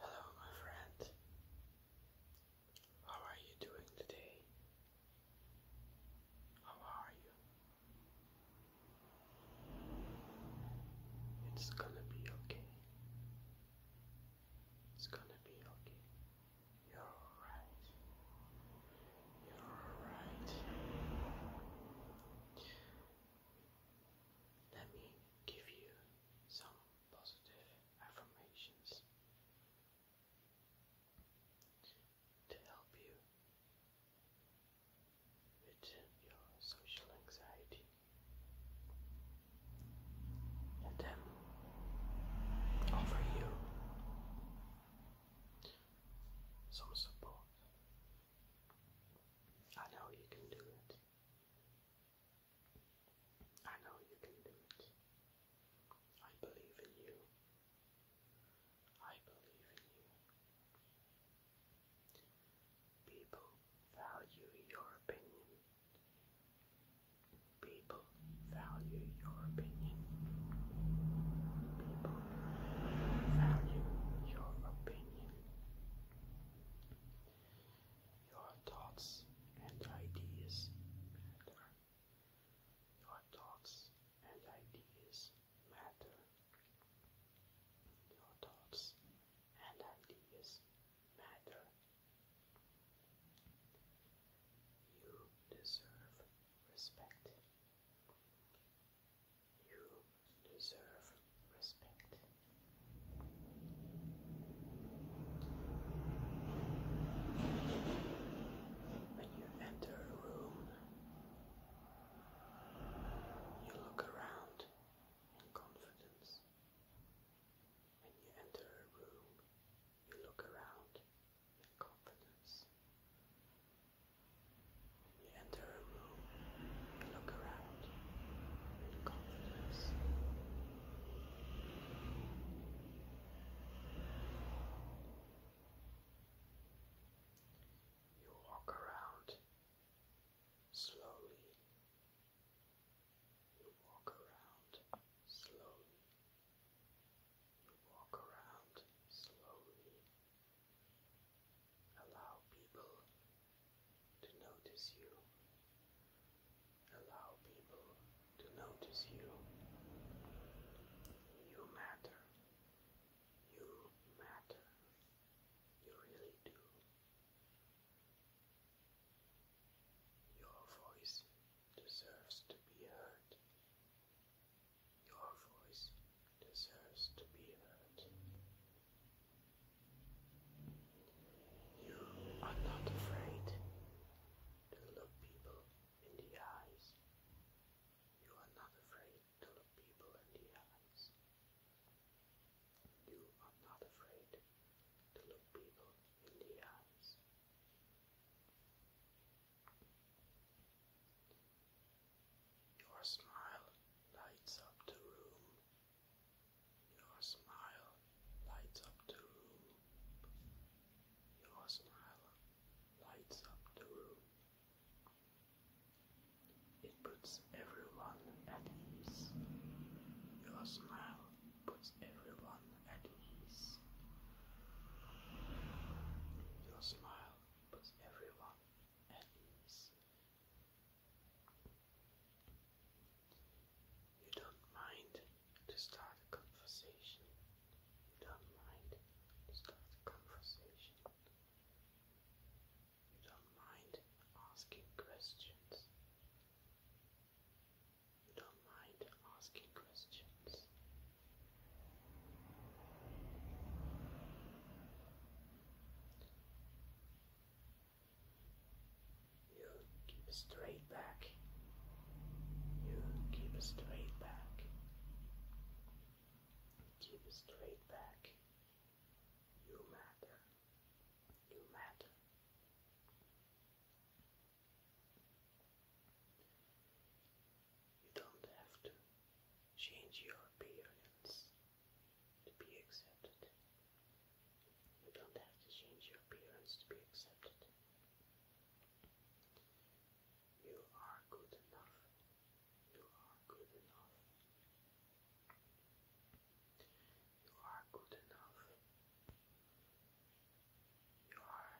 Hello, my friend. How are you doing today? How are you? It's gonna be okay. It's gonna be okay. You're alright. You're alright. Let me give you some positive affirmations to help you with your social anxiety. Let them offer you some support. I know you can do it. I know you can do it. I believe in you. I believe in you. People value your opinion. People value your opinion. People value your opinion your thoughts and ideas matter. Your thoughts and ideas matter. Your thoughts and ideas matter. You deserve respect. You deserve respect. When you enter a room, you look around in confidence. When you enter a room, you look around in confidence enter a room look around in confidence. You walk around slowly. You walk around slowly. You walk around slowly. Allow people to notice you. Allow people to notice you. You matter. You matter. You really do. Your voice deserves to be heard. Your voice deserves to be heard. You are not afraid to look people in the eyes. You are not afraid to look people in the eyes. You are not afraid to look people in the eyes. Your smile lights up the room. Your smile lights up the room. Your smile lights up the room. It puts everyone at ease. Your smile puts everyone at ease. Your smile puts everyone at ease. You don't mind to start a conversation. You don't mind start a conversation. You don't mind asking questions. You don't mind asking questions. You keep straight back. You keep straight back. Keep straight back. You matter. You matter. You don't have to change your appearance to be accepted. You don't have to change your appearance to be accepted. You are good enough. You are good enough. You are good enough. You are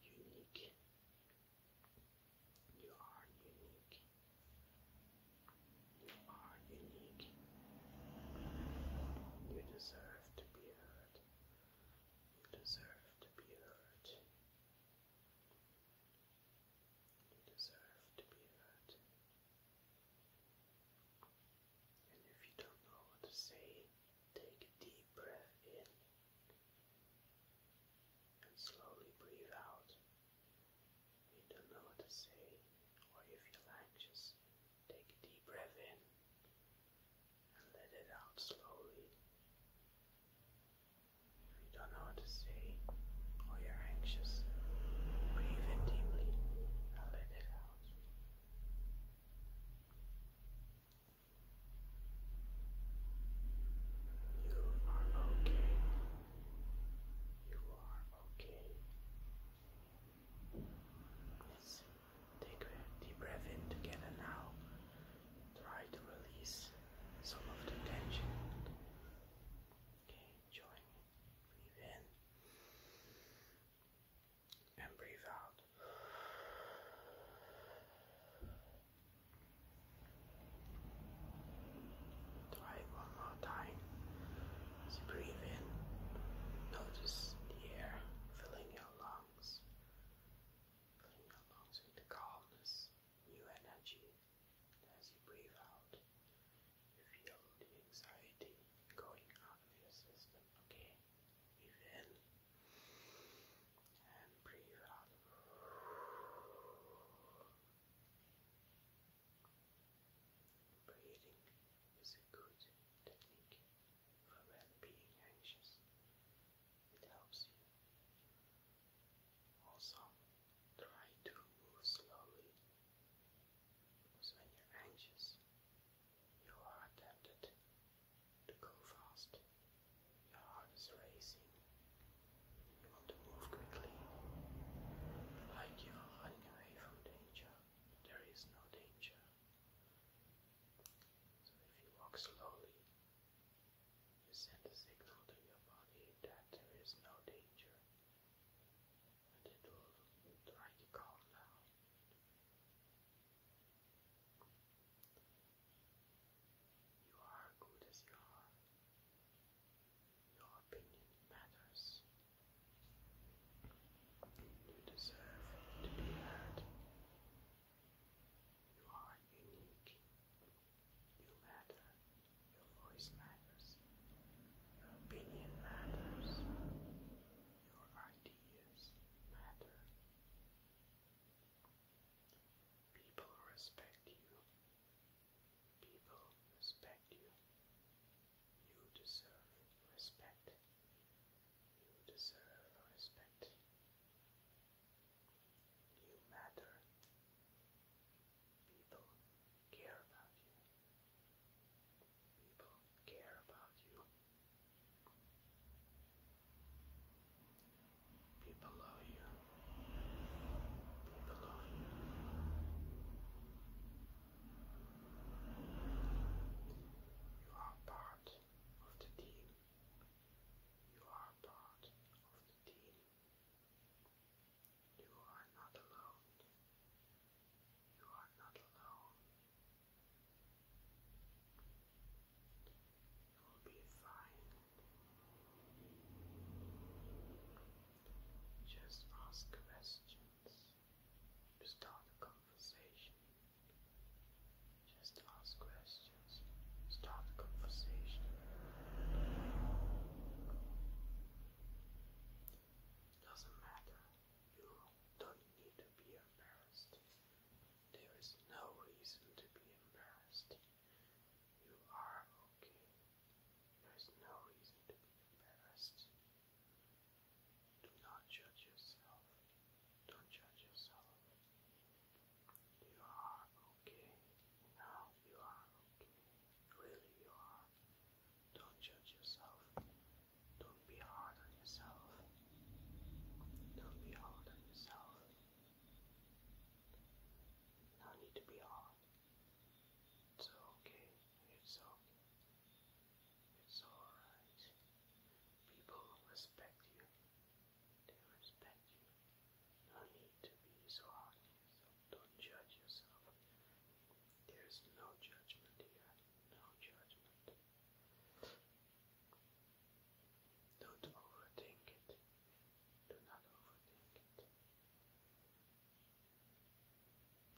unique. You are unique. You are unique. You deserve to be heard. You deserve to be heard. You deserve to be heard. And if you don't know what to say, take a deep breath in and slowly breathe out. You don't know what to say, or you feel anxious. Take a deep breath in and let it out slowly. If you don't know what to say, or you're anxious, breathe in deeply and let it out. You are okay. You are Okay. Let's take a deep breath in together now. Try to release some of the tension. Okay, join. Breathe in and breathe out. Try it one more time. As you breathe in, notice the air filling your lungs, filling your lungs with calmness, new energy. as you breathe out, you feel the anxiety going out of your system. Okay, breathe in and breathe out. Breathing is a good technique for when being anxious. It helps you. Also, try to move slowly. Because when you're anxious, you are tempted to go fast. Your heart is racing, you want to move quickly, like you are running away from danger. There is no danger. So if you walk slowly, you send a signal to your body that there is no danger, and it will try to calm down. You are good as you are. Your opinion matters. You deserve to be heard. You are unique. You matter. Your voice matters. Your opinion matters. Your ideas matter. People respect you. People respect you. You deserve respect. You deserve respect. You matter. People care about you. People care about you. People love you. People You are part of the team. You are part of the team. You are not alone. You are not alone. You will be fine. Just ask questions start a conversation. Just ask questions, start a conversation. Doesn't matter, you don't need to be embarrassed. There is no reason to be embarrassed. You are okay. There is no reason to be embarrassed. Do not judge yourself. Don't judge yourself. You are okay. Now you are okay. Really, you are. Don't judge yourself. Don't be hard on yourself. Don't be hard on yourself. No need to be hard. It's okay. It's okay. It's alright. People respect you. They respect you. No need to be so hard Don't judge yourself. There's no judgment here. No judgment. Don't overthink it. Do not overthink it.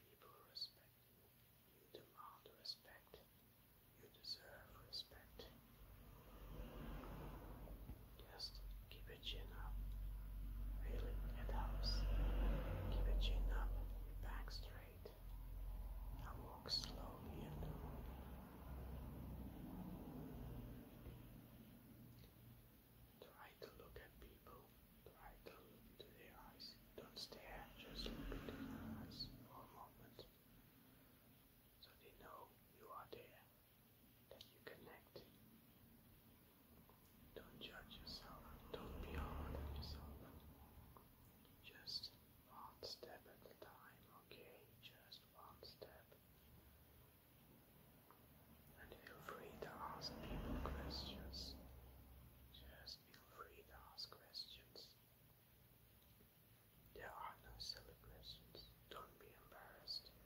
People respect you. You demand respect. You deserve respect. Just keep your chin up. Really, it helps. Keep your chin up, your back straight. Now walk slowly and normally. Try to look at people. Try to look into their eyes. Don't stare, just look into their eyes for a moment. So they know you are there, that you connect. Don't judge yourself. Don't be hard on yourself. Just one step at a time, okay? Just one step. And feel free to ask people questions. Just feel free to ask questions. There are no silly questions. Don't be embarrassed.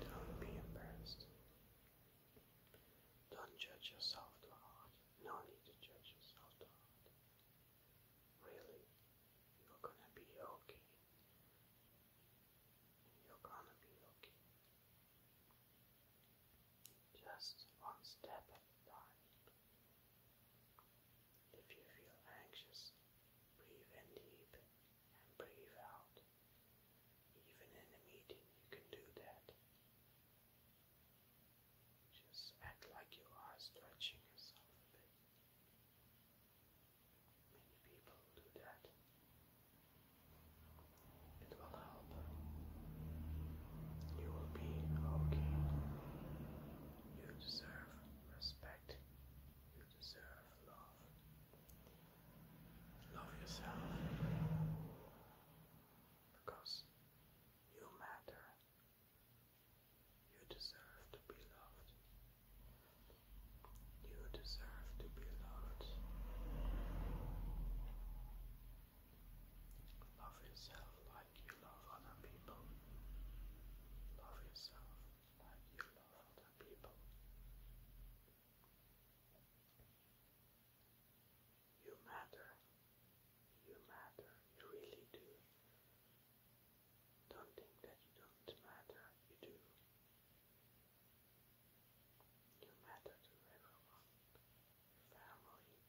Don't be embarrassed. Don't judge yourself too hard. No need to judge yourself too hard. Really, you're gonna be okay. You're gonna be okay. Just one step at a time. If you feel anxious, breathe in deep and breathe out. Even in a meeting, you can do that. Just act like you are stretching yourself a bit. Many people do that. It will help. You will be okay. You deserve respect. You deserve love. Love yourself. Because you matter. You deserve to be loved. You deserve to be loved. Love yourself like you love other people. Love yourself like you love other people. You matter. You matter. You really do. Don't think that you don't matter. You do. You matter to everyone, family,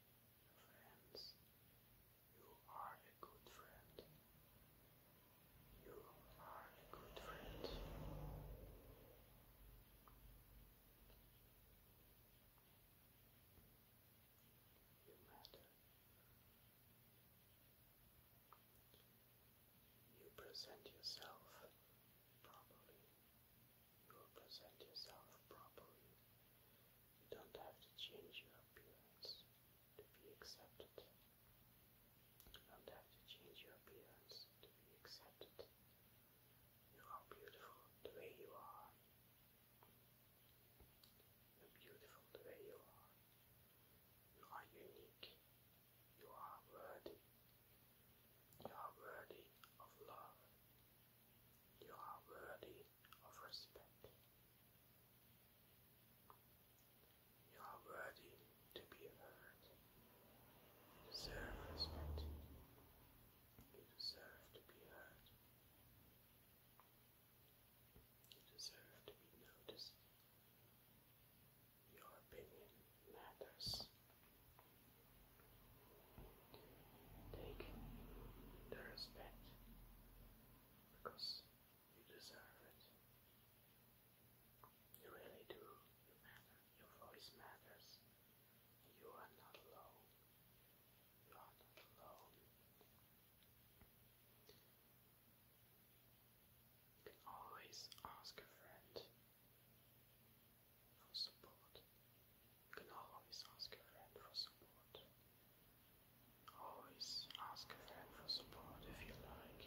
friends. You are a good friend. You are a good friend. You matter. You present yourself properly. You present yourself properly. You don't have to change your appearance to be accepted. You don't have to change your appearance to be accepted. You are beautiful the way you are. You're beautiful the way you are. You are unique. You are worthy. You are worthy of love. You are worthy of respect. You are worthy to be heard. deserve respect. You deserve to be heard. You deserve to be noticed. Your opinion matters. Take the respect because you deserve it. You really do. You matter. Your voice matters. You are not alone. not alone. Always ask a friend for support. You can always ask a friend for support. Always ask a friend for support if you like.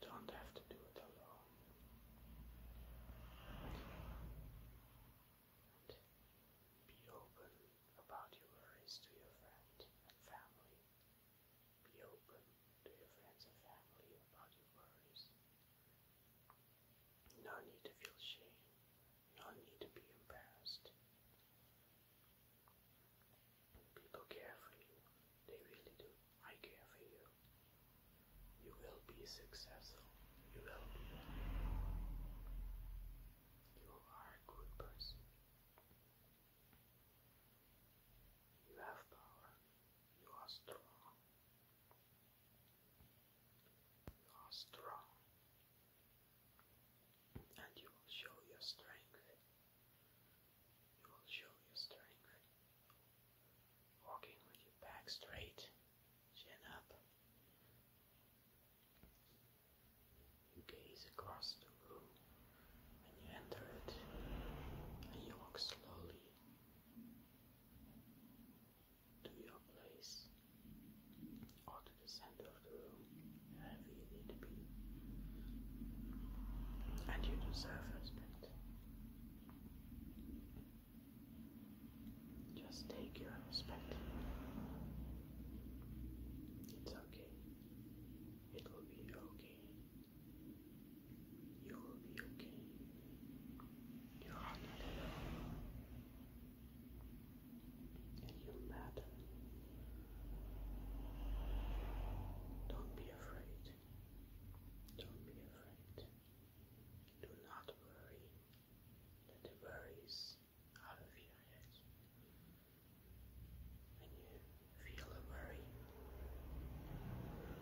Don't have to do it alone. be open about your worries to your friend and family. Be open to your friends and family about your worries. No need to feel shame. No need to be embarrassed. People care for you. They really do. I care for you. You will be successful. You will be. You are a good person. You have power. You are strong. You are strong. And you will show your strength. You will show your strength. Walking with your back straight, chin up. You gaze across the room and you enter it and you walk slowly to your place or to the center of the room, wherever you need to be. And you deserve respect. Just take your respect. It's okay. It will be okay. You will be okay. You are not alone. And you matter. Don't be afraid. Don't be afraid. Do not worry. Let the worries out of your head. When you feel a worry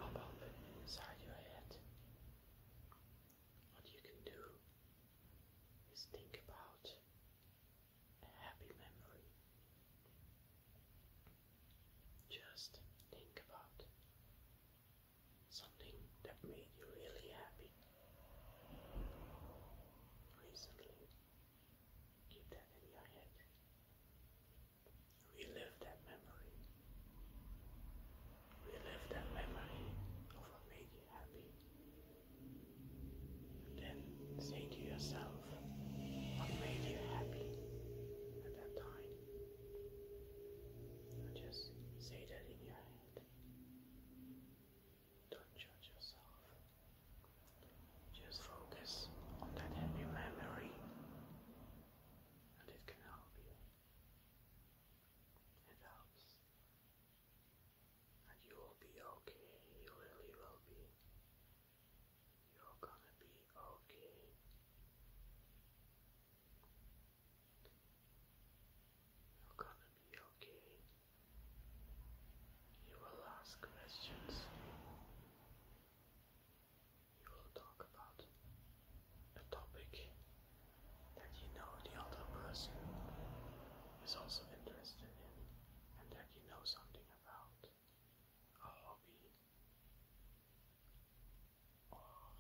pop up inside your head, what you can do is think about a happy memory. Just think about something that made you really happy recently. Keep that in your head. Relive that memory. Relive that memory of what made you happy. then say to yourself, what made you happy at that time? just say that in your head. Don't judge yourself. Just focus on that happy memory, and it can help you. It helps. And you will be okay. You really will be. You're gonna be okay. You're gonna be okay. You will ask questions. You will talk about a topic that you know the other person is also interested in and that you know something about a hobby or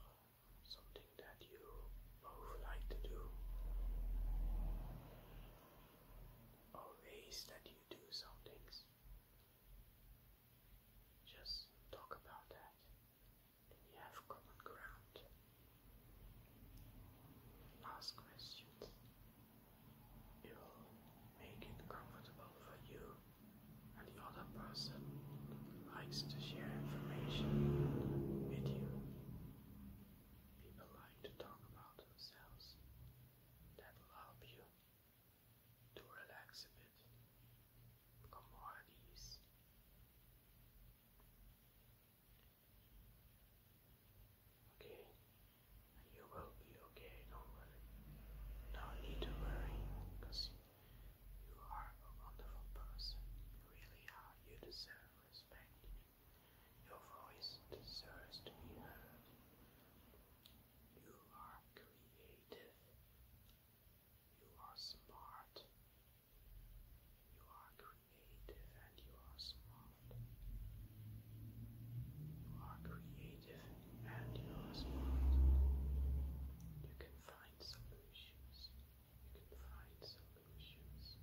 something that you both like to do or ways that you do some things. Just talk about that, and you have common ground. Ask questions. It will make it comfortable for you, and the other person likes to share information with you. People like to talk about themselves. That will help you to relax a bit, become more at ease. Okay, you will be okay, don't worry. No need to worry, because you are a wonderful person. You really are. You deserve respect. Your voice deserves to be heard. You are creative. You are smart. You are creative and you are smart. You are creative and you are smart. You can find solutions. You can find solutions.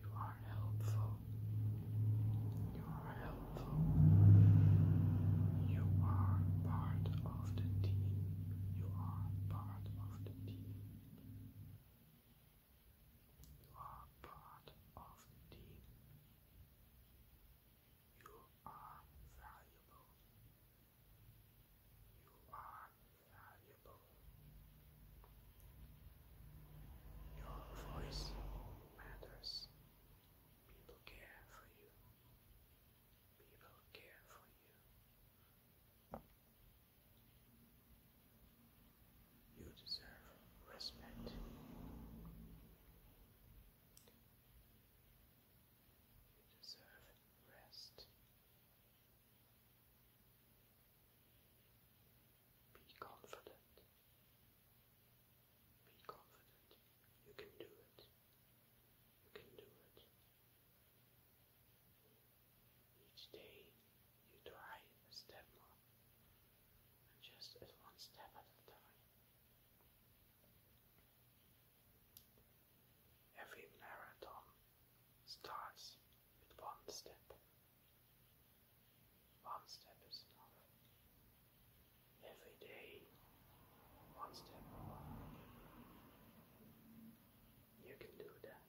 You are helpful. You are helpful. You are part of the team. You are part of the team. You are part of the team. You are valuable. You are valuable. Your voice matters. People care for you. People care for you. You deserve respect. You deserve rest. Be confident. Be confident. You can do it. You can do it. Each day you try a step more, just at one step at a time. Every marathon starts with one step. One step is enough. Every day, one step more. You can do that.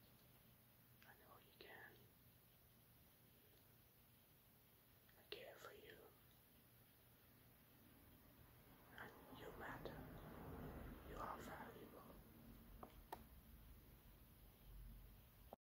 I know you can. I care for you. And you matter. You are valuable.